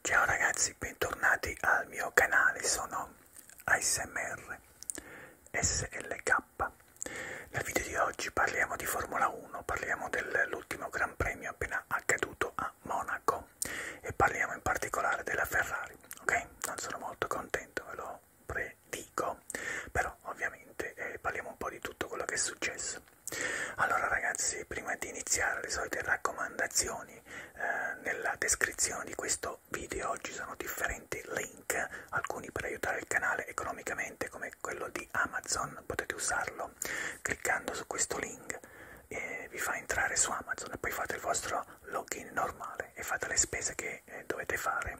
Ciao ragazzi, bentornati al mio canale, sono ASMR SLK. Nel video di oggi parliamo di Formula 1, parliamo dell'ultimo Gran Premio appena accaduto a Monaco e parliamo in particolare della Ferrari, ok? Non sono molto contento, ve lo predico, però ovviamente eh, parliamo un po' di tutto quello che è successo. Allora ragazzi, prima di iniziare le solite raccomandazioni, eh, nella descrizione di questo video ci sono differenti link, alcuni per aiutare il canale economicamente come quello di Amazon, potete usarlo cliccando su questo link e vi fa entrare su Amazon e poi fate il vostro login normale e fate le spese che eh, dovete fare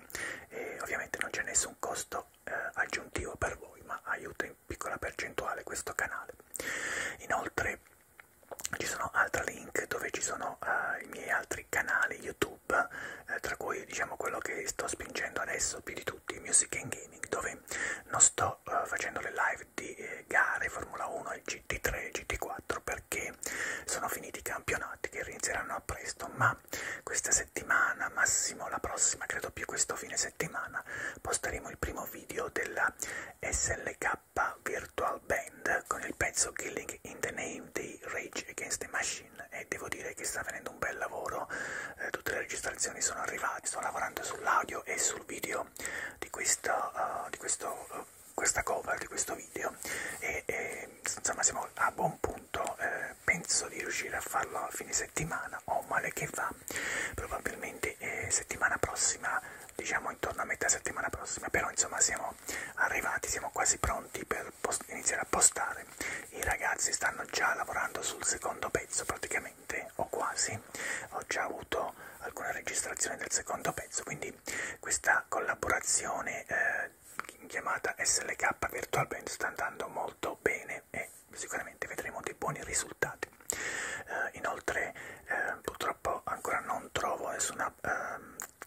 e ovviamente non c'è nessun costo eh, aggiuntivo per voi ma aiuta in piccola percentuale questo canale. Inoltre ci sono altri link dove ci sono uh, i miei altri canali YouTube, uh, tra cui diciamo quello che sto spingendo adesso più di tutti, Music and Gaming, dove non sto uh, facendo le live di eh, gare Formula 1 e GT3 e GT4 perché sono finiti i campionati che inizieranno a presto, ma questa settimana, massimo la prossima, credo più questo fine settimana settimana posteremo il primo video della SLK Virtual Band con il pezzo Killing in the Name di Rage Against the Machine e devo dire che sta venendo un bel lavoro, eh, tutte le registrazioni sono arrivate, sto lavorando sull'audio e sul video di, questa, uh, di questo, uh, questa cover, di questo video e, e insomma siamo a buon punto, eh, penso di riuscire a farlo a fine settimana o oh, male che va probabilmente eh, settimana prossima diciamo intorno a metà settimana prossima però insomma siamo arrivati siamo quasi pronti per iniziare a postare i ragazzi stanno già lavorando sul secondo pezzo praticamente o quasi ho già avuto alcune registrazioni del secondo pezzo quindi questa collaborazione eh, chiamata SLK Virtual Band sta andando molto bene e sicuramente vedremo dei buoni risultati. Eh, inoltre eh, purtroppo ancora non trovo nessuna eh,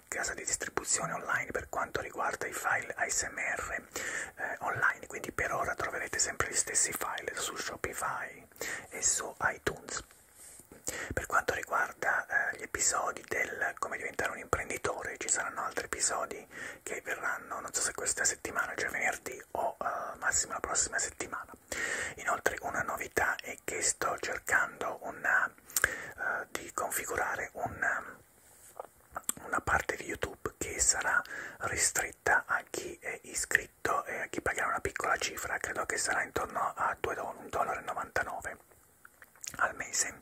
casa di distribuzione online per quanto riguarda i file ASMR eh, online, quindi per ora troverete sempre gli stessi file su Shopify e su iTunes. Per quanto riguarda eh, gli episodi del come diventare un imprenditore, ci saranno altri episodi che verranno, non so se questa settimana, cioè venerdì o eh, massimo la prossima settimana. Inoltre una novità è che sto cercando una, eh, di configurare un ehm, una parte di YouTube che sarà ristretta a chi è iscritto e a chi pagherà una piccola cifra, credo che sarà intorno a 2,99 dollari al mese,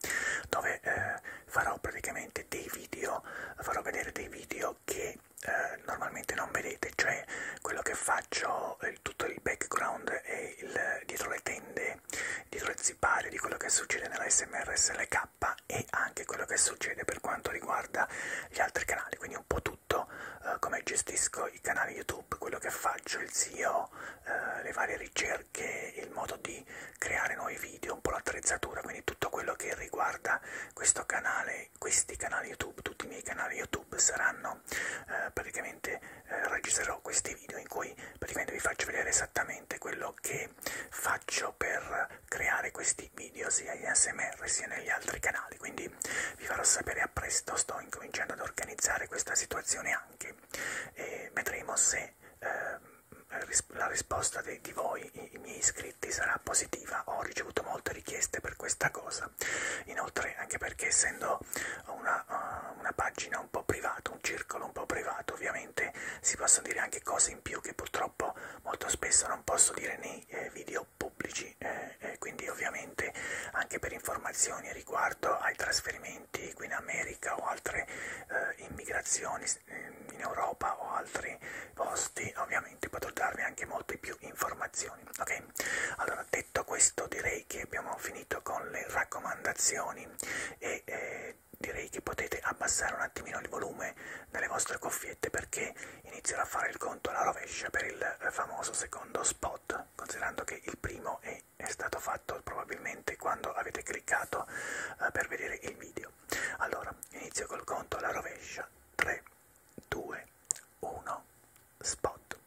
dove eh, farò praticamente dei video, farò vedere dei video che eh, normalmente non vedete, cioè quello che faccio, il, eh, tutto il background e il, dietro le tende, dietro il zipario di quello che succede nella SMRSLK e anche quello che succede per quanto riguarda gli altri canali, quindi un po' tutto eh, come gestisco i canali YouTube, quello che faccio, il SEO, eh, le varie ricerche, il modo di creare nuovi video, un po' l'attrezzatura, quindi tutto quello che riguarda questo canale che questi canali YouTube, tutti i miei canali YouTube saranno eh, praticamente eh, registrerò questi video in cui praticamente vi faccio vedere esattamente quello che faccio per creare questi video sia in ASMR sia negli altri canali, quindi vi farò sapere a presto, sto incominciando ad organizzare questa situazione anche e vedremo se eh, la risposta di, di voi, i, i miei iscritti, sarà positiva. Ho ricevuto molte richieste per questa cosa. Inoltre, anche perché essendo una, uh, una pagina un po' privata, un circolo un po' privato, ovviamente si possono dire anche cose in più che purtroppo molto spesso non posso dire nei eh, video pubblici. Eh, eh, quindi, ovviamente, anche per informazioni riguardo ai trasferimenti qui in America o altre eh, immigrazioni in Europa o altri posti ovviamente potrò darvi anche molte più informazioni ok allora detto questo direi che abbiamo finito con le raccomandazioni e eh, direi che potete abbassare un attimino il volume delle vostre cuffiette perché inizierò a fare il conto alla rovescia per il eh, famoso secondo spot considerando che il primo è, è stato fatto probabilmente quando avete cliccato eh, per vedere il video allora inizio col conto alla rovescia 3 2, 1, spot.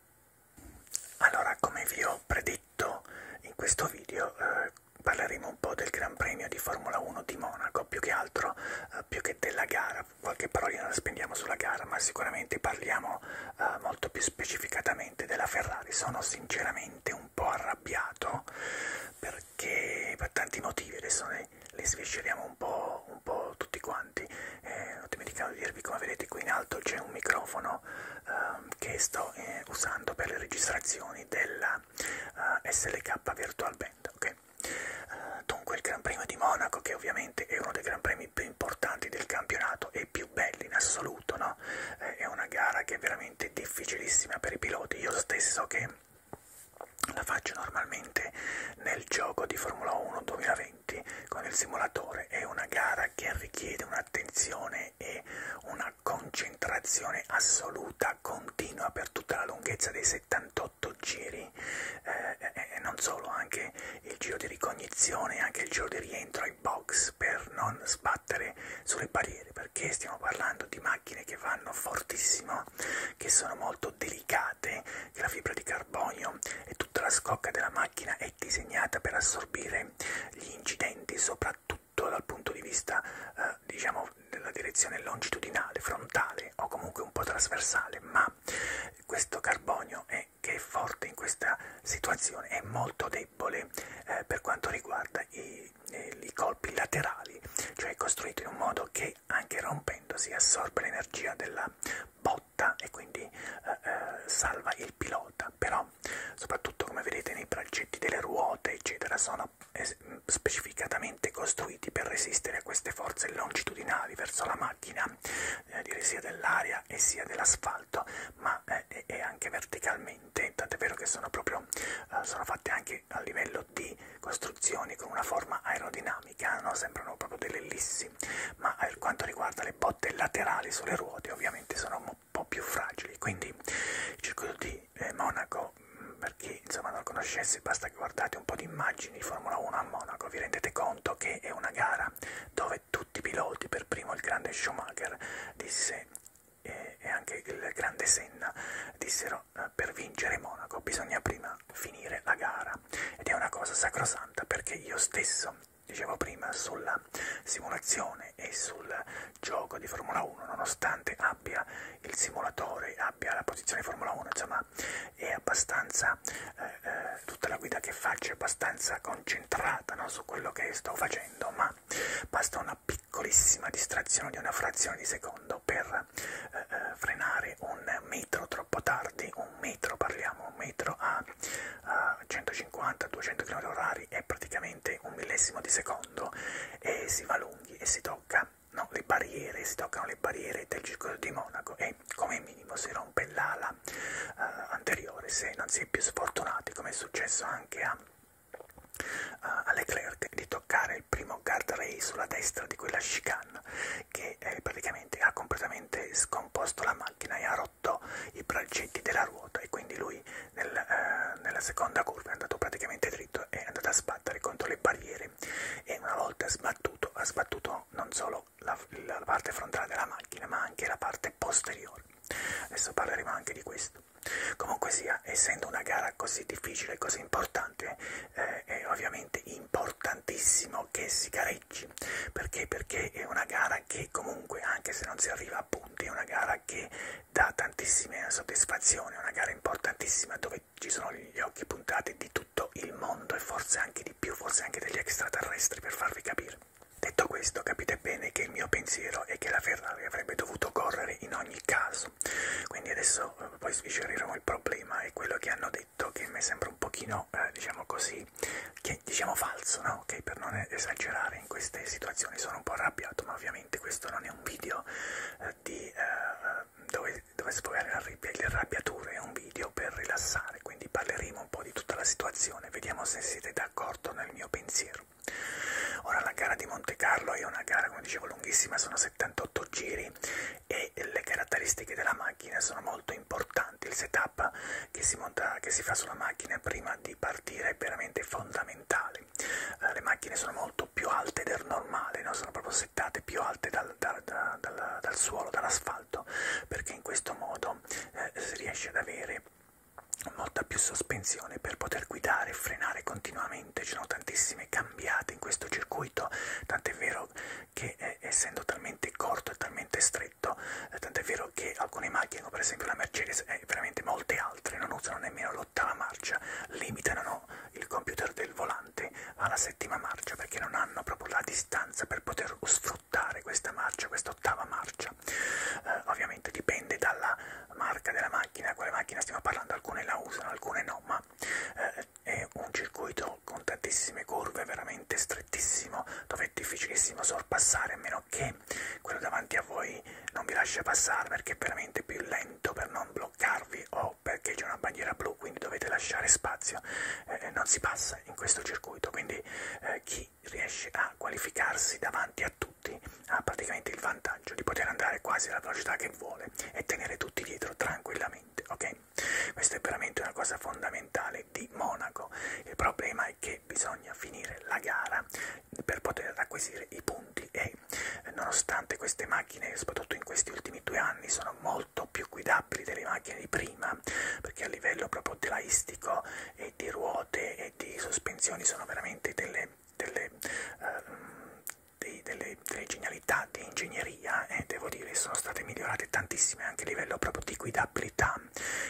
Allora, come vi ho predetto in questo video, eh, parleremo un po' del Gran Premio di Formula 1 di Monaco, più che altro, eh, più che della gara, qualche parolina la spendiamo sulla gara, ma sicuramente parliamo eh, molto più specificatamente della Ferrari. Sono sinceramente un po' arrabbiato perché per tanti motivi, adesso ne ok? Li svisceriamo un po', un po' tutti quanti. Eh, ho dimenticato di dirvi, come vedete qui in alto c'è un microfono eh, che sto eh, usando per le registrazioni della eh, SLK Virtual Band, ok? Uh, dunque il Gran Premio di Monaco, che ovviamente è uno dei Gran Premi più importanti del campionato e più belli in assoluto, no? Eh, è una gara che è veramente difficilissima per i piloti. Io stesso che la faccio normalmente nel gioco di Formula 1 2020 con il simulatore, è una gara che richiede un'attenzione e una concentrazione assoluta, continua per tutta la lunghezza dei 78 giri eh, e non solo, anche il giro di ricognizione, anche il giro di rientro ai box per non sbattere sulle barriere, perché stiamo parlando di macchine che vanno fortissimo, che sono molto delicate latte, la fibra di carbonio e tutta la scocca della macchina è disegnata per assorbire gli incidenti, soprattutto dal punto di vista, eh, diciamo, della direzione longitudinale, frontale o comunque un po' trasversale, ma questo carbonio è, che è forte in questa situazione è molto debole eh, per quanto riguarda i, eh, i colpi laterali, cioè è costruito in un modo che poi anche rompendosi assorbe l'energia della botta e quindi eh, eh, salva il pilota, però soprattutto come vedete nei braccetti delle ruote eccetera sono eh, specificatamente costruiti per resistere a queste forze longitudinali verso la macchina, eh, dire sia dell'aria e sia dell'asfalto, ma eh, e anche verticalmente, tant'è vero che sono proprio eh, sono fatte anche a livello o di costruzioni con una forma aerodinamica, no? sembrano proprio delle ellissi, ma eh, per quanto riguarda le botte laterali sulle ruote ovviamente sono un po' più fragili, quindi il circuito di eh, Monaco, mm, per chi insomma non lo conoscesse basta che guardate un po' di immagini di Formula 1 a Monaco, vi rendete conto che è una gara dove tutti i piloti, per primo il grande Schumacher, disse eh, e anche il grande Senna dissero però eh, per vincere Monaco bisogna prima finire la gara ed è una cosa sacrosanta perché io stesso, dicevo prima, sulla simulazione e sul gioco di Formula 1, nonostante abbia il simulatore, abbia la posizione Formula 1, insomma è abbastanza, eh, eh, tutta la guida che faccio è abbastanza concentrata no, su quello che sto facendo, ma basta una piccolissima distrazione di una frazione di secondo per per eh, eh, frenare un metro troppo tardi, un metro parliamo, un metro a, a 150-200 km/h è praticamente un millesimo di secondo e si va lunghi e si tocca no, le barriere, si toccano le barriere del circuito di Monaco e come minimo si rompe l'ala eh, anteriore se non si è più sfortunati come è successo anche a, a Leclerc di toccare il primo abbiamo Guardrail sulla destra di quella chicane che eh, praticamente ha completamente scomposto la macchina e ha rotto i braccetti della ruota e quindi lui nel, eh, nella seconda curva è andato praticamente dritto e è andato a sbattere contro le barriere e una volta sbattuto ha sbattuto non solo la, la parte frontale della macchina ma anche la parte posteriore. Adesso parleremo anche di questo. Comunque sia, essendo una gara così difficile e così importante, eh, è ovviamente importantissimo che si gareggi perché perché è una gara che comunque anche se non si arriva a punti è una gara che dà tantissime soddisfazioni è una gara importantissima dove ci sono gli occhi puntati di tutto il mondo e forse anche di più forse anche degli extraterrestri per farvi capire detto questo capite bene che il mio pensiero è che la Ferrari avrebbe dovuto correre in ogni caso quindi adesso eh, poi sviscereremo il problema e quello che hanno detto detto che mi sembra un pochino, eh, diciamo così, che diciamo falso, no? Ok, per non esagerare in queste situazioni sono un po' arrabbiato, ma ovviamente questo non è un video eh, di, eh, dove, dove sfogare le arrabbiature, è un video per rilassare, quindi parleremo un po' di tutta la situazione, vediamo se siete d'accordo nel mio pensiero. Ora la gara di Monte Carlo è una gara, come dicevo, lunghissima, sono 78 giri e le caratteristiche della macchina sono molto importanti. Il setup che si, monta, che si fa sulla macchina prima di partire è veramente fondamentale. Eh, le macchine sono molto più alte del normale, no? sono proprio settate più alte dal, dal, dal, dal, dal suolo, dall'asfalto, perché in questo modo eh, si riesce ad avere molta più sospensione per poter guidare e frenare continuamente. Ci sono tantissime camere cambiate in questo circuito, tant'è vero che eh, essendo talmente corto e talmente stretto, eh, tant'è vero che alcune macchine, come per esempio la Mercedes e eh, veramente molte altre, non usano nemmeno l'ottava marcia, limitano il computer del volante alla settima marcia perché non hanno proprio la distanza per poter sfruttare questa marcia, questa ottava marcia. Eh, ovviamente dipende dalla marca della macchina, a quale macchina stiamo parlando, alcune la usano, alcune no, ma eh, è un circuito con tantissime curve, veramente strettissimo, dove è difficilissimo sorpassare, a meno che quello davanti a voi non vi lascia passare perché è veramente più lento per non bloccarvi o perché c'è una bandiera blu, quindi dovete lasciare spazio, eh, eh non si passa in questo circuito, quindi eh, chi riesce a qualificarsi davanti a tutti ha praticamente il vantaggio di poter andare quasi alla velocità che vuole e tenere tutti dietro tranquillamente, ok? ok? Questo è veramente una cosa fondamentale di Monaco. Il problema è che bisogna finire la gara per poter acquisire i punti e eh, nonostante queste macchine, soprattutto in questi ultimi due anni, sono molto più guidabili delle macchine di prima, perché a livello proprio telaistico e di ruote e di sospensioni sono veramente delle, delle uh, dei, delle, delle genialità di ingegneria e eh, devo dire sono state migliorate tantissime anche a livello proprio di guidabilità.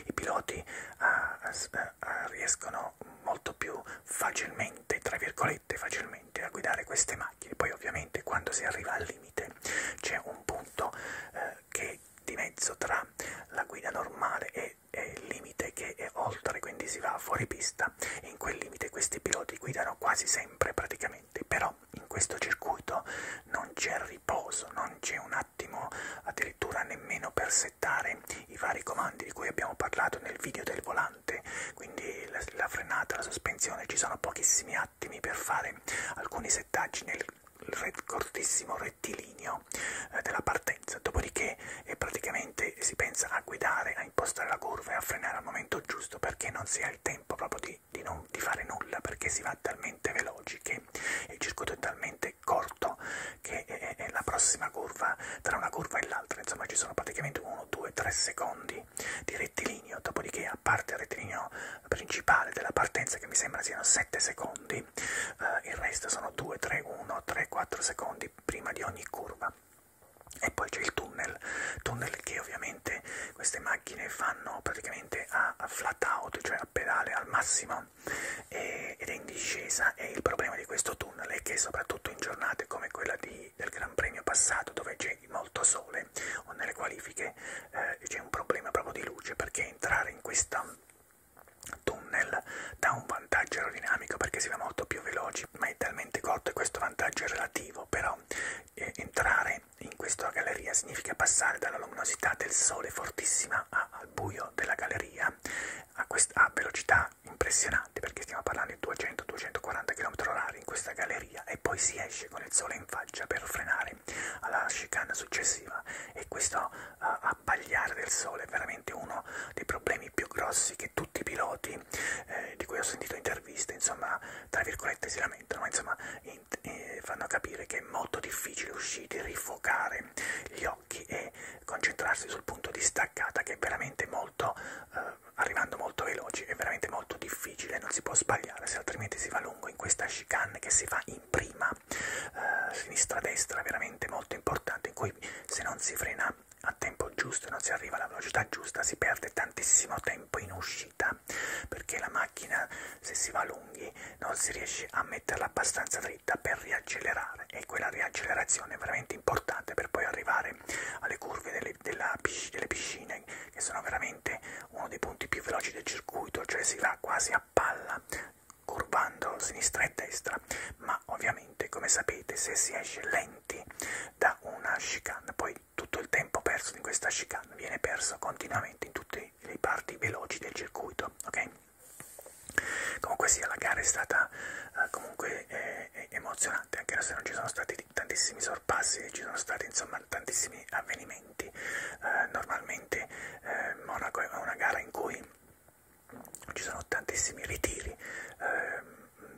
I piloti ah, eh, eh, riescono molto più facilmente, tra virgolette facilmente, a guidare queste macchine. Poi ovviamente quando si arriva al limite c'è un punto eh, che di mezzo tra la guida normale e, e il limite che è oltre, quindi si va fuori pista. In quel limite questi piloti guidano quasi sempre praticamente sicuramente, però in questo circuito non c'è riposo, non c'è un attimo addirittura nemmeno per settare i vari comandi di cui abbiamo parlato nel video del volante, quindi la, la frenata, la sospensione, ci sono pochissimi attimi per fare alcuni settaggi nel ret, cortissimo rettilineo eh, della partenza, dopodiché eh, praticamente si pensa a guidare, a impostare la curva e a frenare al momento giusto perché non si ha il tempo proprio di di, non, di fare nulla perché si va talmente veloci che il circuito è talmente corto che è, è la prossima curva, tra una curva e l'altra, insomma ci sono praticamente 1, 2, 3 secondi di rettilineo, dopodiché a parte il rettilineo principale della partenza che mi sembra siano 7 secondi, eh, il resto sono 2, 3, 1, 3, 4 secondi prima di ogni curva e poi c'è il tunnel, tunnel che ovviamente praticamente queste macchine fanno praticamente a, a flat out, cioè a pedale al massimo e, ed è in discesa e il problema di questo tunnel è che soprattutto in giornate come quella di, del Gran Premio passato dove c'è molto sole o nelle qualifiche eh, c'è un problema proprio di luce perché entrare in questa tunnel dà un vantaggio aerodinamico perché si va molto più veloci ma è talmente corto e questo vantaggio è relativo però eh, entrare in questa galleria significa passare dalla luminosità del sole fortissima a, al buio della galleria a, a velocità impressionante perché stiamo parlando di 200-240 km/h in questa galleria e poi si esce con il sole in faccia per frenare alla chicane successiva e questo uh, abbagliare del sole è veramente uno dei problemi più grossi che tutti i piloti eh, di cui ho sentito interviste insomma tra virgolette si lamentano ma insomma occhi e fanno capire che è molto difficile uscire, rifocare gli occhi e concentrarsi sul punto di staccata che è veramente molto, eh, arrivando molto veloci, è veramente molto difficile, non si può sbagliare se altrimenti si va lungo in questa chicane che si fa in prima, eh, sinistra-destra, veramente molto importante, in cui se non si frena a tempo giusto, non si arriva alla velocità giusta, si perde tantissimo tempo in uscita macchina perché la macchina se si va lunghi non si riesce a metterla abbastanza dritta per riaccelerare e quella riaccelerazione è veramente importante per poi arrivare alle curve delle, della, delle piscine che sono veramente uno dei punti più veloci del circuito cioè si va quasi a palla curvando sinistra e destra ma ovviamente come sapete se si esce lenti da una chicane poi tutto il tempo perso in questa chicane viene perso continuamente in tutte le parti veloci del circuito, ok? Comunque sia, la gara è stata eh, comunque eh, eh, emozionante, anche se non ci sono stati tantissimi sorpassi, ci sono stati insomma tantissimi avvenimenti. Eh, normalmente eh, Monaco è una gara in cui ci sono tantissimi ritiri, eh,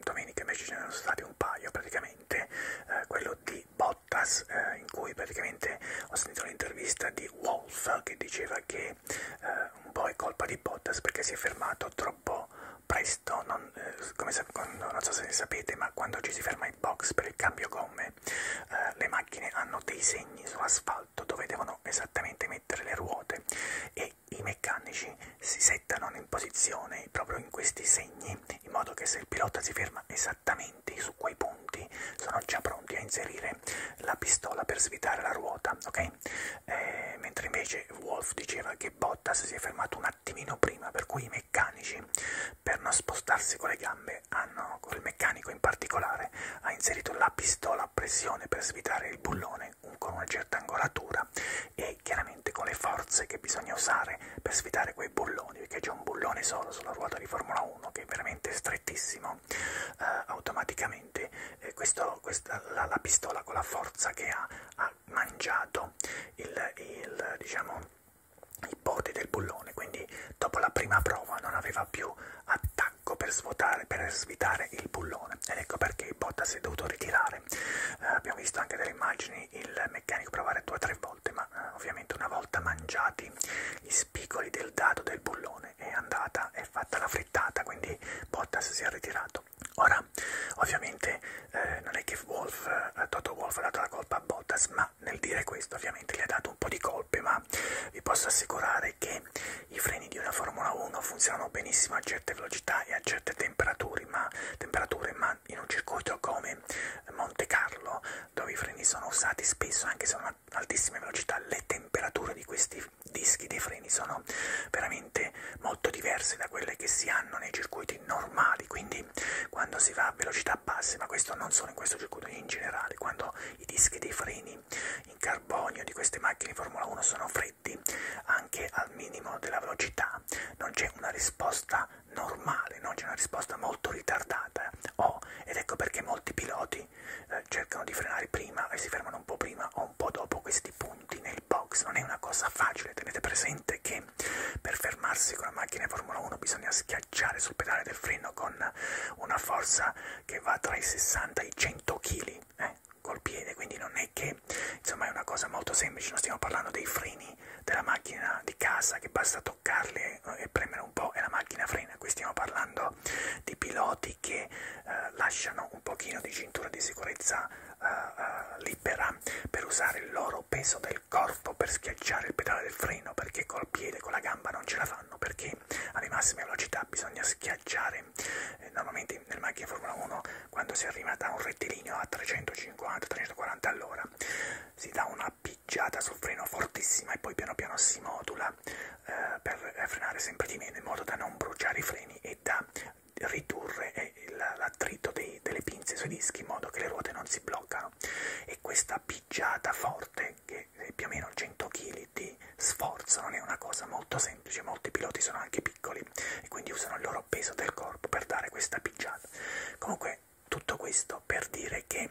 domenica invece ce ne sono stati un paio praticamente, eh, quello di Bottas Bottas eh, in cui praticamente ho sentito l'intervista di Wolf che diceva che eh, un po' è colpa di Bottas perché si è fermato troppo presto, non, eh, come, non so se sapete ma quando ci si ferma in box per il cambio gomme eh, le macchine hanno dei segni sull'asfalto dove devono esattamente mettere le ruote e i meccanici si settano in posizione proprio in questi segni azioni in modo che se il pilota si ferma esattamente su quei punti sono già pronti a inserire la pistola per svitare la ruota, ok? Eh, mentre invece Wolf diceva che Bottas si è fermato un attimino prima, per cui i meccanici per non spostarsi con le gambe hanno, il meccanico in particolare, ha inserito la pistola a pressione per svitare il bullone con una certa angolatura e chiaramente con le forze che bisogna usare per svitare quei bulloni bulloni, perché c'è un bullone solo sulla ruota di Formula 1 che è veramente strettissimo, eh, automaticamente eh, questo, questa, la, la pistola con la forza che ha, ha mangiato il, il, diciamo, i poti del bullone, quindi dopo la prima prova non aveva più attacco per svuotare, per svitare il bullone ed ecco perché Botta si è dovuto ritirare. Eh, abbiamo visto anche delle immagini il meccanico provare due o tre volte, ma eh, ovviamente una volta mangiati gli spicoli del dado del bullone è andata, è fatta la frittata, quindi Bottas si è ritirato. Ora, ovviamente eh, non è che Wolf, eh, Toto Wolf ha dato la colpa a Bottas, ma nel dire questo ovviamente gli ha dato un po' di colpe, ma vi posso assicurare che i freni di una Formula 1 funzionano benissimo a certe velocità e a certe temperature, ma, temperature, ma in un circuito come Monte Carlo dove i freni sono usati spesso anche se a altissime velocità le temperature di questi dischi dei freni sono veramente molto diverse da quelle che si hanno nei circuiti normali quindi quando si va a velocità basse ma questo non solo in questo circuito in generale quando i dischi dei freni in carbonio di queste macchine di Formula 1 sono freddi anche al minimo della velocità non c'è una risposta normale, no? c'è una risposta molto ritardata eh. oh, ed ecco perché molti piloti eh, cercano di frenare prima e si fermano un po' prima o un po' dopo questi punti nel box, non è una cosa facile, tenete presente che per fermarsi con la macchina Formula 1 bisogna schiacciare sul pedale del freno con una forza che va tra i 60 e i 100 kg eh, col piede, quindi non è che insomma è una cosa molto semplice, non stiamo parlando dei freni della macchina di casa che basta toccare toccarli e premere un po' e la macchina frena. Qui stiamo parlando di piloti che eh, lasciano un pochino di cintura di sicurezza eh, eh, libera per usare il loro peso del corpo per schiacciare il pedale del freno perché col piede, con la gamba non ce la fanno perché alle massime velocità bisogna schiacciare. Eh, normalmente nelle macchine Formula 1 quando si arriva da un rettilineo a 350-340 all'ora si dà una picchiata sul freno fortissima e poi piano piano si modula eh, per eh, frenare sempre di meno in modo da non bruciare i freni e da ridurre eh, l'attrito delle pinze sui dischi in modo che le ruote non si bloccano e questa picchiata forte che è più o meno 100 kg di sforzo non è una cosa molto semplice molti piloti sono anche piccoli e quindi usano il loro peso del corpo per dare questa picchiata comunque tutto questo per dire che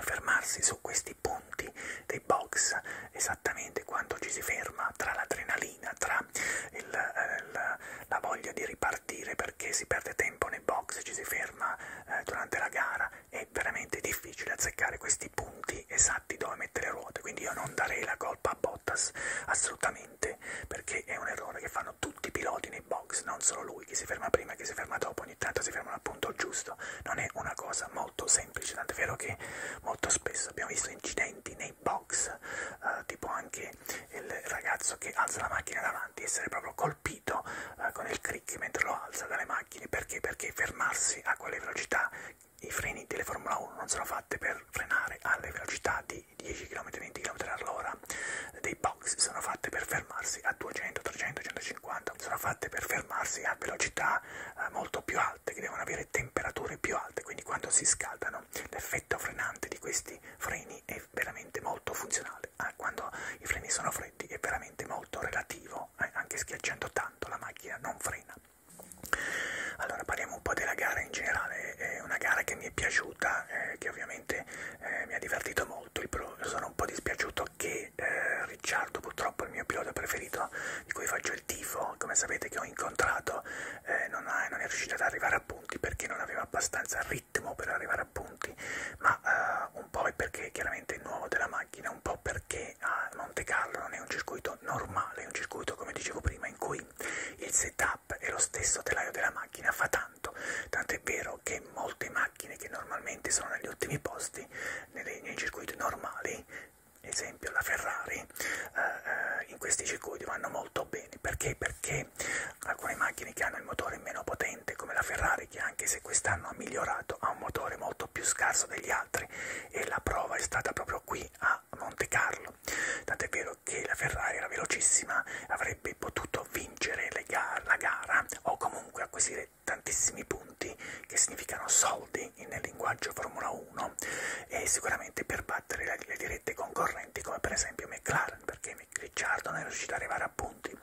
fermarsi su questi punti dei box, esattamente quando ci si ferma tra l'adrenalina, tra il, eh, la, la voglia di ripartire perché si perde tempo nei box, ci si ferma eh, durante la gara, è veramente difficile azzeccare questi punti esatti dove mettere le ruote, quindi io non darei la colpa a Bottas assolutamente perché è un errore che fanno tutti i piloti nei nei box, non solo lui, chi si ferma prima, chi si ferma dopo, ogni tanto si fermano al punto giusto, non è una cosa molto semplice, tant'è vero che molto spesso abbiamo visto incidenti nei box, eh, tipo anche il ragazzo che alza la macchina davanti, essere proprio colpito eh, con il crick mentre lo alza dalle macchine, perché? Perché fermarsi a quelle velocità i freni delle Formula 1 non sono fatte per frenare alle velocità di 10 km, 20 km all'ora, dei box sono fatte per fermarsi a 200, 300, 150, sono fatte per fermarsi a velocità eh, molto più alte, che devono avere temperature più alte, quindi quando si scaldano l'effetto frenante di questi freni è veramente molto funzionale, ah, quando i freni sono freddi è veramente molto relativo, eh, anche schiacciando tanto la macchina non frena. Allora parliamo un po' della gara in generale, è una gara che mi è piaciuta battuta eh, che ovviamente eh, mi ha divertito molto. Il pro sono un po' dispiaciuto che eh, Ricciardo, purtroppo il mio pilota preferito di cui faccio il tifo, come sapete che ho incontrato, eh, non, ha, non è riuscito ad arrivare a punti perché non aveva abbastanza ritmo per arrivare a punti, ma eh, un po' è perché chiaramente è nuovo della macchina, un po' perché a Monte Carlo non è un circuito normale, è un circuito come dicevo prima in cui il setup e lo stesso telaio della macchina fa tanto tanto. Tanto è vero che molte macchine che normalmente sono negli ultimi posti nei, nei circuiti normali, esempio la Ferrari, eh, eh, in questi circuiti vanno molto bene. Perché? Perché alcune macchine che hanno il motore meno potente, come la Ferrari, che anche se quest'anno ha migliorato, ha un motore molto più scarso degli altri e la prova è stata proprio qui a Monte Carlo. Tant'è vero che la Ferrari era velocissima, avrebbe potuto potuto vincere ga la gara o comunque acquisire tantissimi punti che significano soldi nel linguaggio Formula 1 e sicuramente per battere le, le dirette concorrenti come per esempio McLaren perché Ricciardo non è riuscito ad arrivare a punti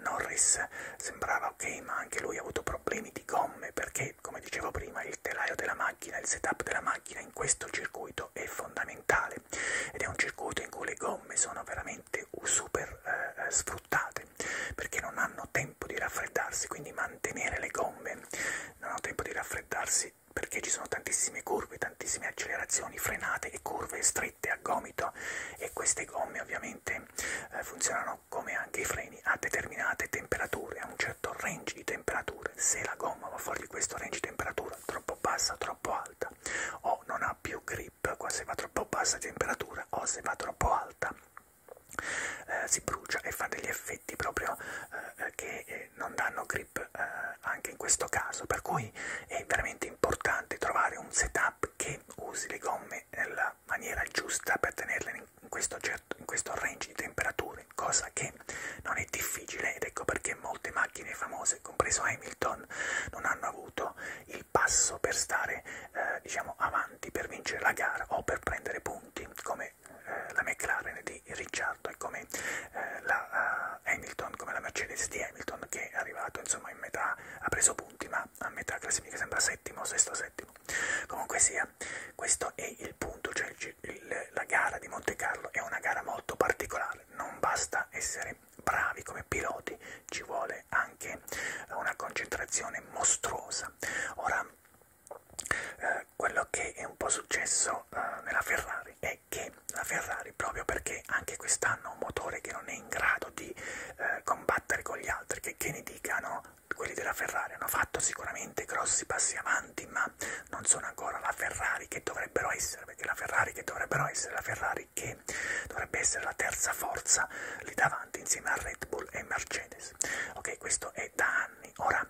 Norris sembrava ok ma anche lui ha avuto problemi di gomme perché come dicevo prima il telaio della macchina il setup della macchina in questo circuito è fondamentale ed è un circuito in cui le gomme sono veramente veramente super eh, eh, sfruttate perché non hanno tempo di raffreddarsi, quindi mantenere le gomme non hanno tempo di raffreddarsi perché ci sono tantissime curve, tantissime accelerazioni, frenate e curve strette a gomito e queste gomme ovviamente eh, funzionano come anche i freni a determinate temperature, a un certo range di temperature. Se la gomma va fuori di questo range di temperatura troppo bassa, troppo alta o non ha più grip, drip, qua se va troppo bassa temperatura o se va troppo alta eh, si brucia e fa degli effetti proprio eh, eh, che eh, non danno grip eh, anche in questo caso, per cui è veramente importante trovare un setup che usi le gomme nella maniera giusta per tenerle in questo, certo, in questo range di temperature, cosa che non è difficile ed ecco perché molte macchine famose, compreso Hamilton, non hanno avuto il il passo per stare eh, diciamo avanti, per vincere la gara o per prendere punti, come eh, la McLaren di Ricciardo e come eh, la uh, Hamilton, come la Mercedes di Hamilton che è arrivato insomma in metà, ha preso punti ma a metà classifica sembra settimo, sesto, settimo. Comunque sia, questo è il punto, cioè il, il, la gara di Monte Carlo è una gara molto particolare, non basta essere essere bravi come piloti ci vuole anche una concentrazione mostruosa. Ora, eh, quello che è un po' successo eh, nella Ferrari è che la Ferrari, proprio perché anche quest'anno ha un motore che non è in grado di eh, combattere con gli altri, che, che ne dicano quelli della Ferrari, hanno fatto sicuramente grossi passi avanti, ma non sono ancora la Ferrari che dovrebbero essere, perché la Ferrari che dovrebbero essere la Ferrari Ferrari che dovrebbe essere la terza forza lì davanti insieme a Red Bull e Mercedes. Ok, questo è da anni. Ora,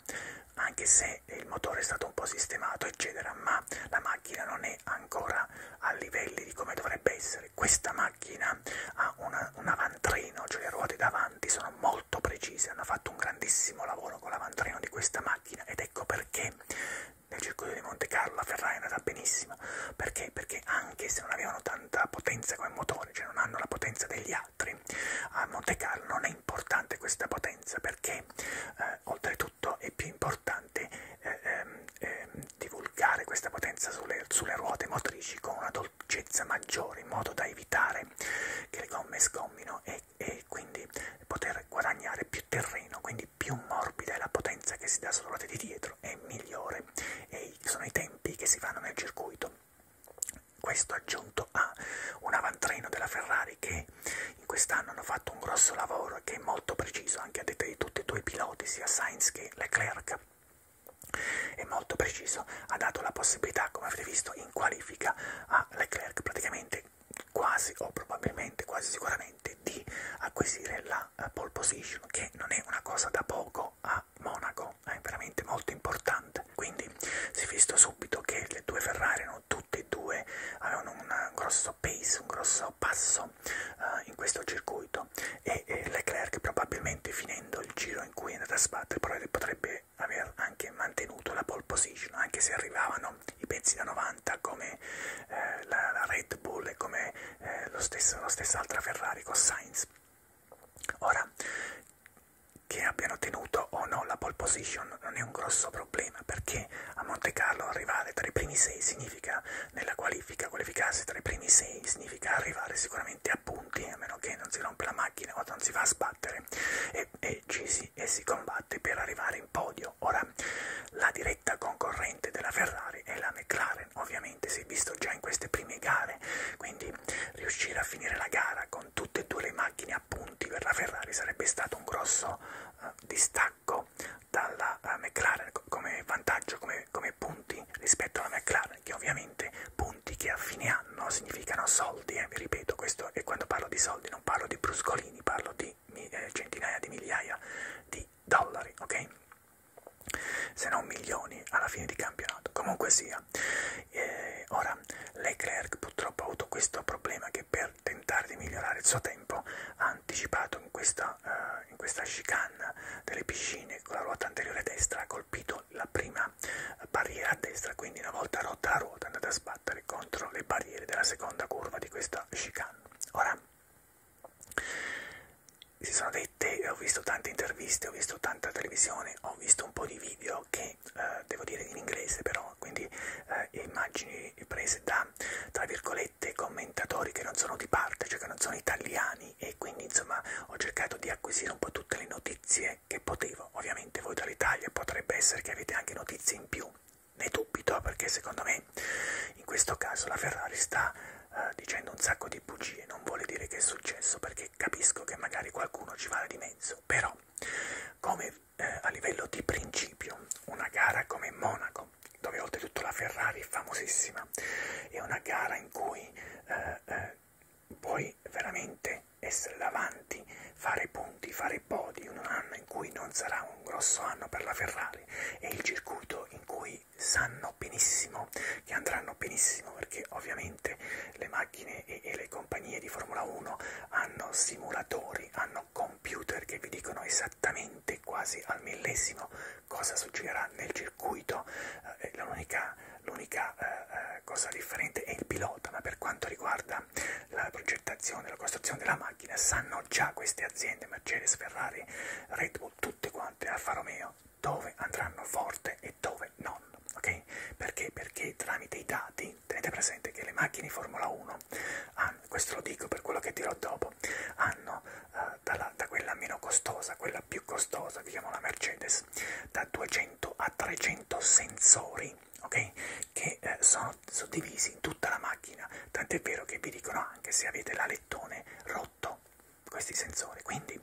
anche se il motore è stato un po' sistemato, eccetera, ma la macchina non è ancora a livelli di come dovrebbe essere. Questa macchina ha una, un avantrino, cioè le ruote davanti sono molto precise, hanno fatto un grandissimo lavoro con l'avantrino di questa macchina ed ecco perché nel circuito di Monte Carlo la Ferrari è andata benissimo perché? Perché anche se non avevano tanta potenza come motore, cioè non hanno la potenza degli altri, a Monte Carlo non è importante questa potenza perché eh, oltretutto è più importante eh, eh, divulgare questa potenza sulle, sulle ruote motrici con una dolcezza maggiore in modo da evitare che le gomme sgommino e, e quindi poter guadagnare più terreno, quindi perché più morbida è la potenza che si dà sulla ruota di dietro e migliore e sono i tempi che si fanno nel circuito. Questo aggiunto a un avantreno della Ferrari che in quest'anno hanno fatto un grosso lavoro che è molto preciso anche a detta di tutti e due i piloti, sia Sainz che Leclerc è molto preciso, ha dato la possibilità, come avete visto, in qualifica a Leclerc praticamente quasi o probabilmente, quasi sicuramente, di acquisire la una uh, eh, pole position, che non è una cosa da poco a Monaco, è veramente molto importante. Quindi si è visto subito che le due Ferrari erano tutte e due, avevano un grosso pace, un grosso passo uh, in questo circuito e, e Leclerc probabilmente finendo il giro in cui è andato a sbattere potrebbe aver anche mantenuto la pole position, anche se arrivavano i pezzi da 90 come eh, la, la Red Bull e come eh, lo stesso, la stessa altra Ferrari con Sainz. Ora, che abbiano ottenuto o no la pole position non è un grosso problema perché a Monte Carlo arrivare tra i primi sei significa nella qualifica, qualificarsi tra i primi sei significa arrivare sicuramente a punti a meno che non si rompe la macchina o non si va a sbattere e, e ci si, e si combatte per arrivare in podio. Ora la diretta concorrente della Ferrari è la McLaren ovviamente sicuramente, si è visto già in queste prime gare, quindi riuscire a finire la gara con tutte e due le macchine a punti per la Ferrari sarebbe stato un grosso uh, distacco dalla uh, McLaren come vantaggio, come, come punti rispetto alla McLaren, che ovviamente punti che a fine anno significano soldi, eh, vi ripeto, questo e quando parlo di soldi non parlo di bruscolini, parlo di eh, centinaia di migliaia di dollari, ok? se non milioni alla fine di campionato comunque sia eh, ora Leclerc purtroppo ha avuto questo problema che per tentare di migliorare il suo tempo ha anticipato in questa, uh, in questa chicane delle piscine con la ruota anteriore destra ha colpito la prima barriera a destra quindi una volta rotta la ruota è andata a sbattere contro le barriere della seconda curva di questa chicane ora si sono dette, ho visto tante interviste, ho visto tanta televisione, ho visto un po' di video che eh, devo dire in inglese però, quindi eh, immagini prese da, tra virgolette, commentatori che non sono di parte, cioè che non sono italiani e quindi insomma ho cercato di acquisire un po' tutte le notizie che potevo. Ovviamente voi dall'Italia potrebbe essere che avete anche notizie in più, ne dubito perché secondo me ok? In questo caso la Ferrari sta eh, dicendo un sacco di bugie, non vuole dire che è successo perché capisco che magari qualcuno ci vale di mezzo, però come eh, a livello di principio una gara come Monaco, dove oltretutto la Ferrari è famosissima, è una gara in cui eh, eh, puoi veramente essere davanti, fare punti, fare podi in un anno in cui non sarà un grosso anno per la Ferrari, è il circuito in cui quindi sanno benissimo che andranno benissimo perché ovviamente le macchine e, e le compagnie di Formula 1 hanno simulatori, hanno computer che vi dicono esattamente quasi al millesimo cosa succederà nel circuito, eh, l'unica eh, eh, cosa differente è il pilota, ma per quanto riguarda la progettazione, la costruzione della macchina sanno già queste aziende, Mercedes, Ferrari, Red Bull, tutte quante Alfa Romeo dove andranno forte e dove non, ok? Perché? Perché tramite i dati, tenete presente che le macchine Formula 1, hanno, questo lo dico per quello che dirò dopo, hanno eh, dalla, da quella meno costosa, quella più costosa, che chiamano la Mercedes, da 200 a 300 sensori, ok? Che eh, sono suddivisi in tutta la macchina, tant'è vero che vi dicono anche se avete l'alettone rotto questi sensori. Quindi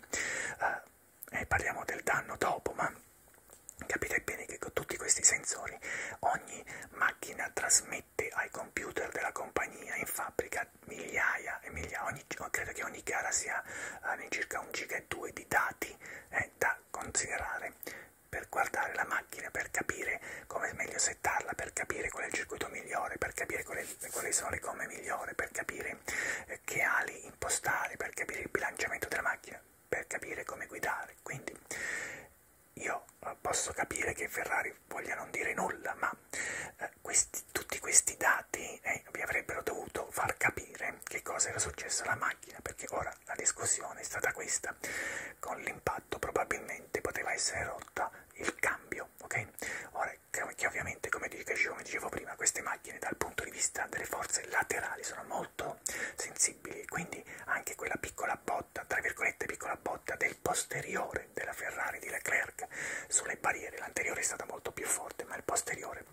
eh, eh, parliamo del danno dopo, ma capite bene che con tutti questi sensori ogni macchina trasmette ai computer della compagnia in fabbrica migliaia e migliaia, ogni, credo che ogni gara sia eh, circa un giga e due di dati eh, da considerare per guardare la macchina, per capire come meglio settarla, per capire qual è il circuito migliore, per capire qual è quali, quali sono le gomme migliori per capire eh, che ali impostare, per capire il bilanciamento della macchina, per capire come guidare. Quindi io eh, posso capire che Ferrari voglia non dire nulla, ma eh, questi, tutti questi dati eh, vi avrebbero dovuto far capire che cosa era successo alla macchina, perché ora la discussione è stata questa, con l'impatto probabilmente poteva essere rotta il cambio, ok? Ora che ovviamente, come dicevo prima, queste macchine dal punto di vista delle forze laterali sono molto sensibili, quindi anche quella piccola botta, tra virgolette piccola botta del posteriore della Ferrari di Leclerc sulle barriere, l'anteriore è stata molto più forte, ma il posteriore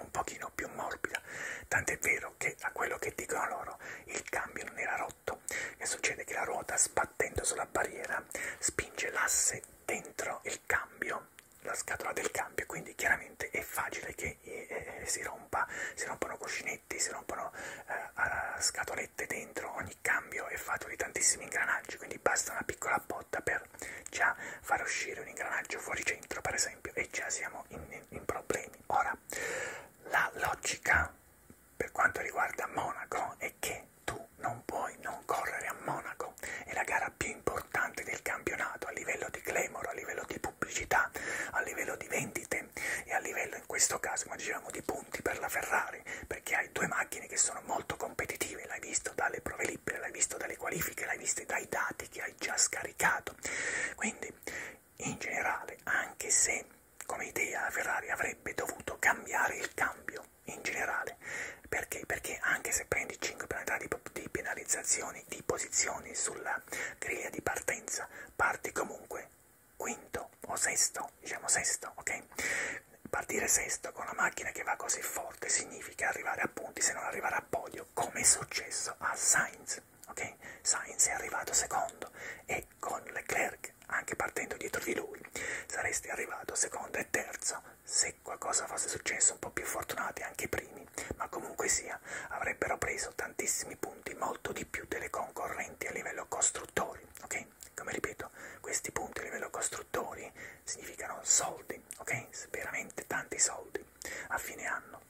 un pochino più morbida, tant'è vero che a quello che dicono loro il cambio non era rotto, e succede che la ruota sbattuta battendo sulla barriera spinge l'asse dentro il cambio, la scatola del cambio, quindi chiaramente è facile che eh, eh si rompa, si rompono cuscinetti, si rompono eh, scatolette dentro, ogni cambio è fatto di tantissimi ingranaggi, quindi basta una piccola botta per già far uscire un ingranaggio fuori centro per esempio e già siamo in, in problemi. Ora, la logica per quanto riguarda Monaco è che tu non puoi non correre a Monaco, è la gara più importante del campionato a livello di glamour, a livello di pubblicità, a livello di vendite e a livello in questo caso, come dicevamo, di punti per la Ferrari, perché hai due macchine che sono molto competitive, l'hai visto dalle prove libere, l'hai visto dalle qualifiche, l'hai visto dai dati che hai già scaricato. Quindi, in generale, anche se come idea Ferrari avrebbe dovuto cambiare il cambio in generale. Perché? Perché anche se prendi 5 penalità di, di penalizzazioni di posizioni sulla griglia di partenza, parti comunque quinto o sesto, diciamo sesto, ok? Partire sesto con una macchina che va così forte significa arrivare a punti se non arrivare a podio, come è successo a Sainz, ok? Sainz è arrivato secondo e con Leclerc anche partendo dietro di lui, saresti arrivato secondo e terzo, se qualcosa fosse successo un po' più fortunati anche i primi, ma comunque sia, avrebbero preso tantissimi punti, molto di più delle concorrenti a livello costruttori, ok? Come ripeto, questi punti a livello costruttori significano soldi, ok? Veramente tanti soldi a fine anno.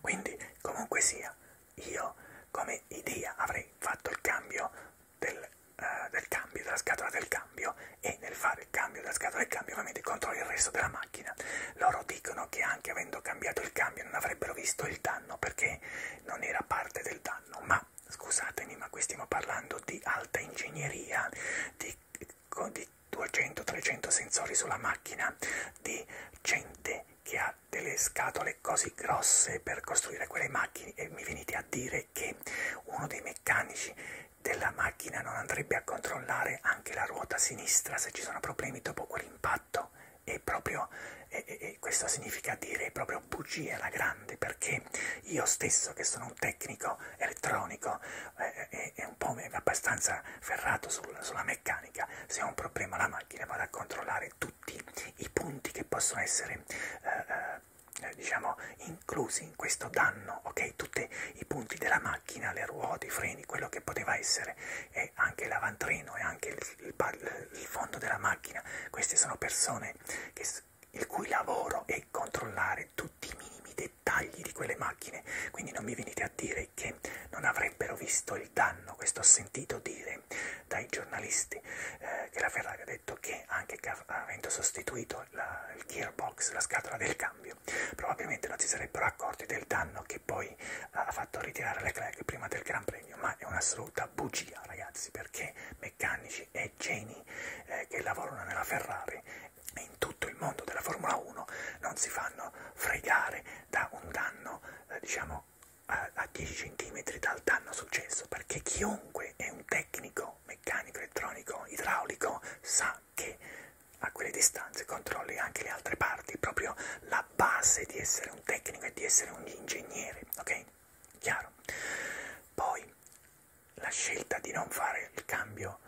Quindi, comunque sia, io come idea avrei fatto il cambio del, uh, del cambio, della scatola del cambio e nel fare il cambio della scatola del cambio ovviamente controlli il resto della macchina. Loro dicono che anche avendo cambiato il cambio non avrebbero visto il danno perché non era parte del danno, ma scusatemi ma qui stiamo parlando di alta ingegneria, di, di 200-300 sensori sulla macchina, di gente che ha delle scatole così così grosse per costruire quelle macchine e mi venite a dire che uno dei meccanici della macchina non andrebbe a controllare anche la ruota sinistra se ci sono problemi dopo quell'impatto e proprio e, e questo significa dire proprio bugia alla grande perché io stesso che sono un tecnico elettronico eh, eh, e eh, un po' abbastanza ferrato sul, sulla meccanica se ho un problema alla macchina vado a controllare tutti i punti che possono essere eh, eh eh, diciamo inclusi in questo danno, ok? Tutti i punti della macchina, le ruote, i freni, quello che poteva essere, e anche il lavantrino e anche il, il, il fondo della macchina. Queste sono persone che, il cui lavoro è controllare tutti i minimi dettagli di quelle macchine, quindi non mi venite a dire che non avrebbero visto il danno, questo ho sentito dire dai giornalisti eh, che la Ferrari ha detto che anche avendo sostituito la, il gearbox, la scatola del cambio, probabilmente non si sarebbero accorti del danno che poi ha fatto ritirare Leclerc prima del Gran Premio, ma è un'assoluta bugia ragazzi, perché meccanici e geni eh, che lavorano nella Ferrari e in tutto il mondo della Formula 1 non si fanno fregare da un danno, eh, diciamo, a, a 10 cm dal danno successo, perché chiunque è un tecnico meccanico, meccanico, elettronico, idraulico sa che a quelle distanze controlli anche le altre parti, proprio la base di essere un tecnico e di essere un ingegnere, ok? Chiaro? Poi la scelta di non fare il cambio,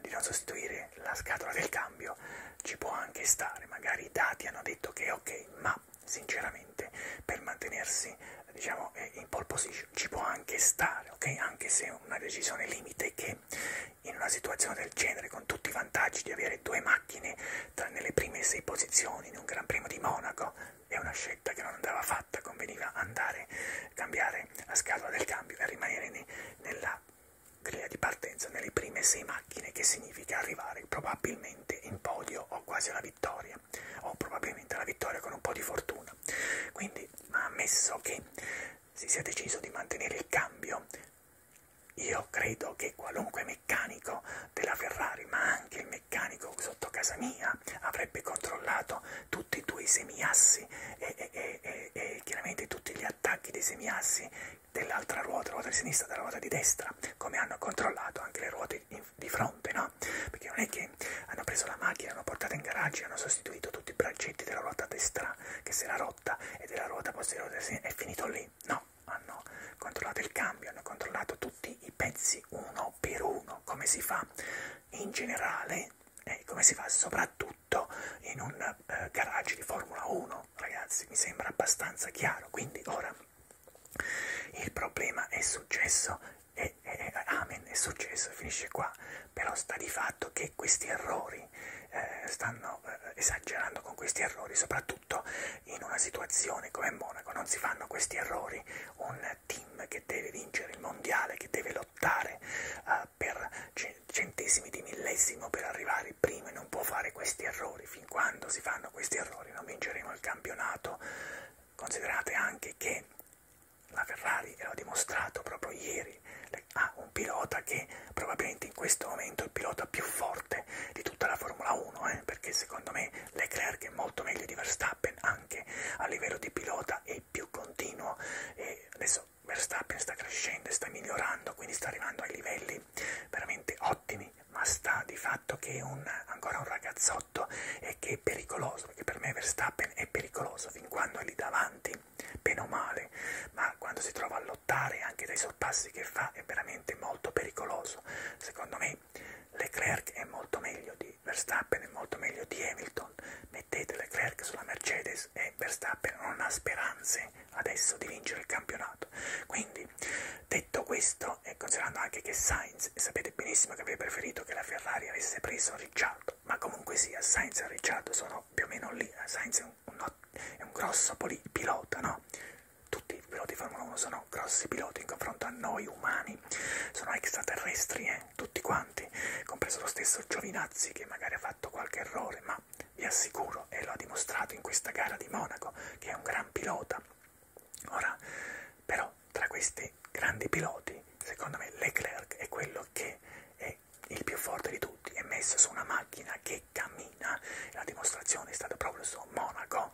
di non sostituire la scatola del cambio ci può anche stare, magari i dati hanno detto che è ok, ma sinceramente per mantenersi diciamo in pole position ci può anche stare ok anche se è una decisione limite che in una situazione del genere con tutti i vantaggi di avere due macchine tra nelle prime sei posizioni in un gran premio di Monaco è una scelta che non andava fatta conveniva andare cambiare la scatola del cambio e rimanere ne, nella griglia di partenza nelle prime sei macchine che significa arrivare probabilmente in podio o quasi alla vittoria vittoria oh, o probabilmente la vittoria con un po' di fortuna. Quindi, ammesso che si sia deciso di mantenere il cambio, io credo che qualunque meccanico della Ferrari, ma anche il meccanico sotto casa mia, avrebbe controllato tutti e due i semiassi e, e, e, e chiaramente tutti gli attacchi dei semiassi dell'altra ruota, ruota di sinistra, della ruota di destra, come hanno controllato anche le ruote di fronte, no? Perché non è che hanno preso la macchina, l'hanno portata in garage e hanno sostituito tutti i braccetti della ruota destra che si era rotta e della ruota posteriore è finito lì, no? Hanno controllato il cambio, hanno controllato tutti i pezzi uno per uno, come si fa in generale e eh, come si fa soprattutto in un eh, garage di Formula 1, ragazzi, mi sembra abbastanza chiaro. Quindi ora il problema è successo e, e amen, è successo, finisce qua, però sta di fatto che questi errori eh, stanno eh, esagerando con questi errori, soprattutto in una situazione come Monaco, non si fanno questi errori, un team che deve vincere il mondiale, che deve lottare eh, per centesimi di millesimo per arrivare prima e non può fare questi errori, fin quando si fanno questi errori non vinceremo il campionato, considerate anche che la Ferrari, e l'ho dimostrato proprio ieri, ha un pilota che probabilmente in questo momento è il pilota più forte di tutta la Formula 1, eh? perché secondo me Leclerc è molto meglio di Verstappen anche a livello di pilota, è più continuo e adesso Verstappen sta crescendo e sta migliorando, quindi sta arrivando ai livelli veramente ottimi, ma sta di fatto che è un, ancora un ragazzotto e che è pericoloso, perché per me Verstappen è pericoloso fin quando è lì davanti, bene o male, ma quando si trova a lottare anche dai sorpassi che fa è veramente molto pericoloso. Secondo me Leclerc è molto meglio di Verstappen, è molto meglio di Hamilton. Mettete Leclerc sulla Mercedes e Verstappen non ha speranze adesso di vincere il campionato. Quindi, detto questo, e considerando anche che Sainz sapete benissimo che avrei preferito che la Ferrari avesse preso Ricciardo, ma comunque sia, Sainz e Ricciardo sono più o meno lì, eh, Sainz è un, un, è un grosso pilota, no? Tutti i piloti di Formula 1 sono grossi piloti in confronto a noi umani, sono extraterrestri, eh? tutti quanti, compreso lo stesso Giovinazzi che magari ha fatto qualche errore, ma vi assicuro, e lo ha dimostrato in questa gara di Monaco, che è un gran pilota. Ora, però, tra questi grandi piloti, secondo me Leclerc è quello che è il più forte di tutti, è messo su una macchina che cammina, la dimostrazione è stata proprio su Monaco,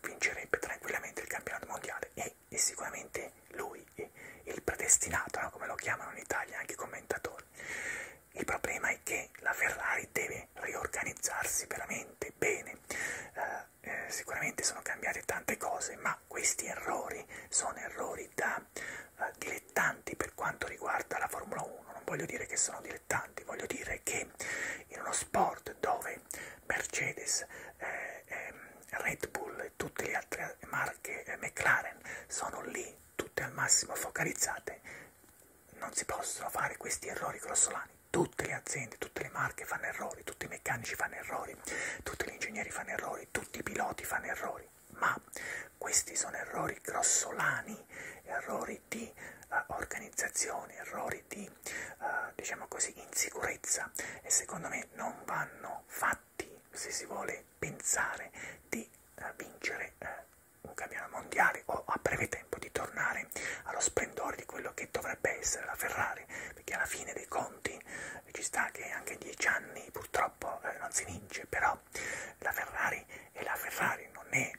vincerebbe tranquillamente il campionato mondiale e è sicuramente lui il predestinato, no? come lo chiamano in Italia anche i commentatori. Il problema è che la Ferrari deve riorganizzarsi veramente bene, eh, eh, sicuramente sono cambiate tante cose, ma questi errori sono errori da eh, dilettanti per quanto riguarda la Formula 1. Non voglio dire che sono dilettanti, voglio dire che in uno sport dove Mercedes, eh, eh, Red Bull e tutte le altre marche eh, McLaren sono lì tutte al massimo focalizzate, non si possono fare questi errori grossolani. Tutte le aziende, tutte le marche fanno errori, tutti i meccanici fanno errori errori, tutti gli ingegneri fanno errori, tutti i piloti fanno errori, ma questi sono errori grossolani, errori di uh, organizzazione, errori di, uh, diciamo così, insicurezza e secondo me non vanno fatti se si vuole pensare di uh, vincere uh, un campionato mondiale o a breve tempo di tornare allo splendore di quello che dovrebbe essere la Ferrari, perché alla fine dei conti eh, ci sta che anche a 10 anni purtroppo eh, non si vince, però la Ferrari è la Ferrari, non è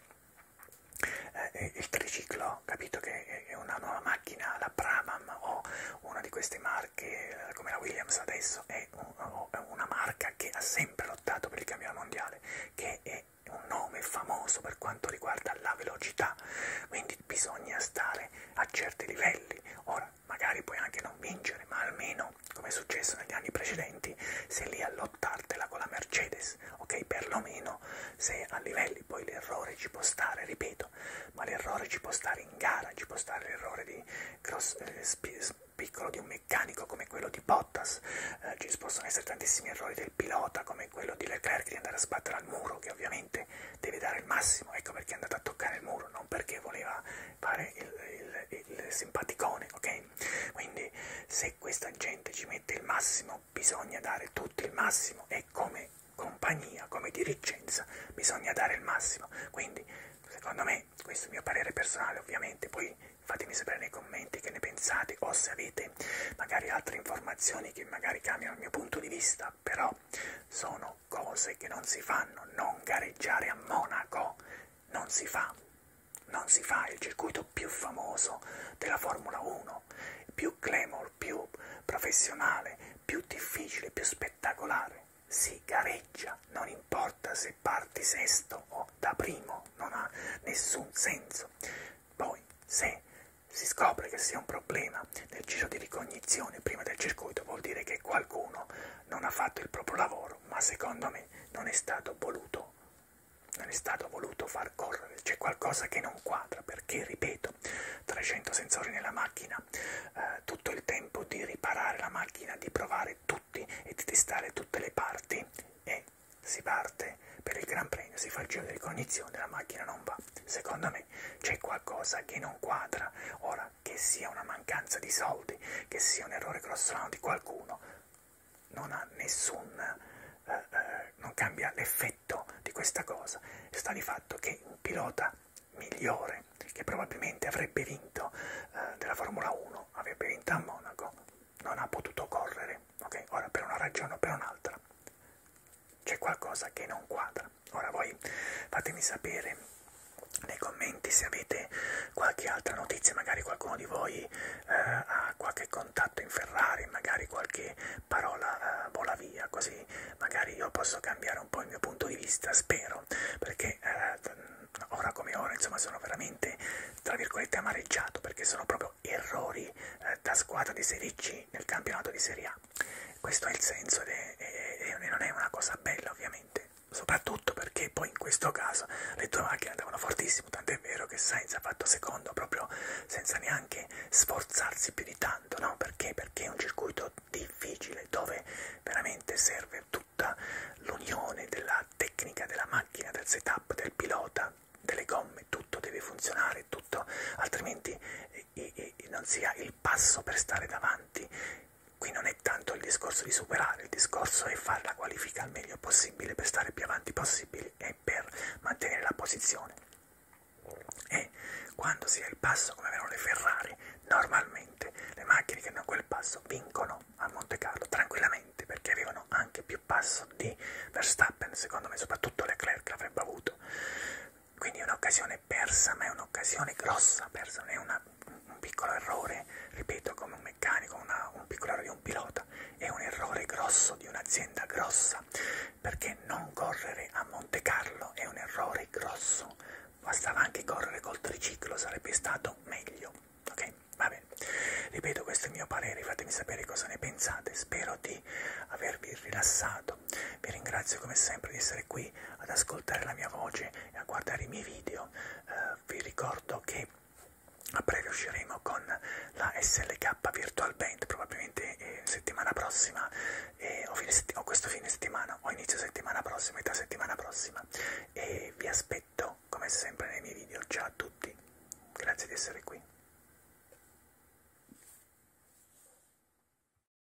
eh, il triciclo, capito che è una nuova macchina, la Brabham o una di queste marche eh, come la Williams adesso è un, una marca che ha sempre lottato per il campionato mondiale, che è un nome famoso per quanto riguarda la velocità, quindi quindi bisogna stare a certi livelli. Ora, magari puoi anche non vincere, ma almeno, come è successo negli anni precedenti, sei lì a lottartela con la Mercedes, ok? Perlomeno sei a livelli, poi l'errore ci può stare, ripeto, ma l'errore ci può stare in gara, ci può stare l'errore di cross, eh, piccolo di un meccanico come quello di Bottas, eh, ci possono essere tantissimi errori del pilota come quello di Leclerc di andare a sbattere al muro, che ovviamente veramente deve dare il massimo, ecco perché è andato a toccare il muro, non perché voleva fare il, il, il simpaticone, ok? Quindi se questa gente ci mette il massimo, bisogna dare tutto il massimo e come compagnia, come dirigenza, bisogna dare il massimo. Quindi, secondo me, questo è il mio parere personale, ovviamente, poi fatemi sapere nei commenti che ne pensate o se avete magari altre informazioni che magari cambiano il mio punto di vista, però sono fanno cose che non si fanno, non gareggiare a Monaco non si fa, non si fa, è il circuito più famoso della Formula 1, più glamour, più professionale, più difficile, più spettacolare, si gareggia, non importa se parti sesto o da primo, non ha nessun senso. Poi se si scopre che sia un problema nel giro di ricognizione, cognizione prima del circuito vuol dire che qualcuno non ha fatto il proprio lavoro, ma secondo me non è stato voluto, non è stato voluto far correre, c'è qualcosa che non quadra, perché, ripeto, 300 sensori nella macchina, eh, tutto il tempo di riparare la macchina, di provare tutti e di testare tutte le parti e si parte per il Gran Premio, si fa il giro di cognizione, la macchina non va. Secondo me c'è qualcosa che non quadra, ora che sia una mancanza di soldi, che sia un errore grossolano di qualcuno, non ha nessun, eh, eh, non cambia l'effetto di questa cosa. Sta di fatto che un pilota migliore, che probabilmente avrebbe vinto eh, della Formula 1, avrebbe vinto a Monaco, non ha potuto correre, ok? Ora per una ragione o per un'altra c'è qualcosa che non quadra. Ora voi fatemi sapere nei commenti se avete qualche altra notizia, magari qualcuno di voi eh, ha qualche contatto in Ferrari, magari qualche parola eh, vola via, così magari io posso cambiare un po' il mio punto di vista, spero, perché eh, ora come ora insomma sono veramente tra virgolette amareggiato perché sono proprio errori eh, da squadra di Serie C nel campionato di Serie A. Questo è il senso e non è una cosa bella ovviamente, soprattutto perché poi in questo caso le due macchine andavano fortissimo, tant'è vero che Sainz ha fatto secondo proprio senza neanche sforzarsi più di tanto, no? Perché? Perché è un circuito difficile dove veramente serve tutta l'unione della tecnica della macchina, del setup, del pilota, delle gomme, tutto deve funzionare, tutto, altrimenti non sia il passo per stare davanti. Qui non è tanto il discorso di superare, il discorso è fare la qualifica al meglio possibile per stare più avanti possibile e per mantenere la posizione. E quando si ha il passo come avevano le Ferrari, normalmente le macchine che hanno quel passo vincono a Monte Carlo tranquillamente perché avevano anche più passo di Verstappen, secondo me, soprattutto Leclerc l'avrebbe avuto. Quindi è un'occasione persa, ma è un'occasione grossa persa, non è una, un piccolo errore, ripeto, come un meccanico, una, un piccolo errore di un pilota, è un errore grosso di un'azienda grossa, perché non correre a Monte Carlo è un errore grosso, bastava anche correre col triciclo, sarebbe stato meglio, ok? Va bene, ripeto, questo è il mio parere, fatemi sapere cosa ne pensate, spero di avervi rilassato vi ringrazio come sempre di essere qui ad ascoltare la mia voce e a guardare i miei video. Eh, vi ricordo che a breve usciremo con la SLK Virtual Band, probabilmente eh, settimana prossima, eh, o, fine setti o questo fine settimana, o inizio settimana prossima, metà settimana prossima. E vi aspetto come sempre nei miei video. Ciao a tutti, grazie di essere qui.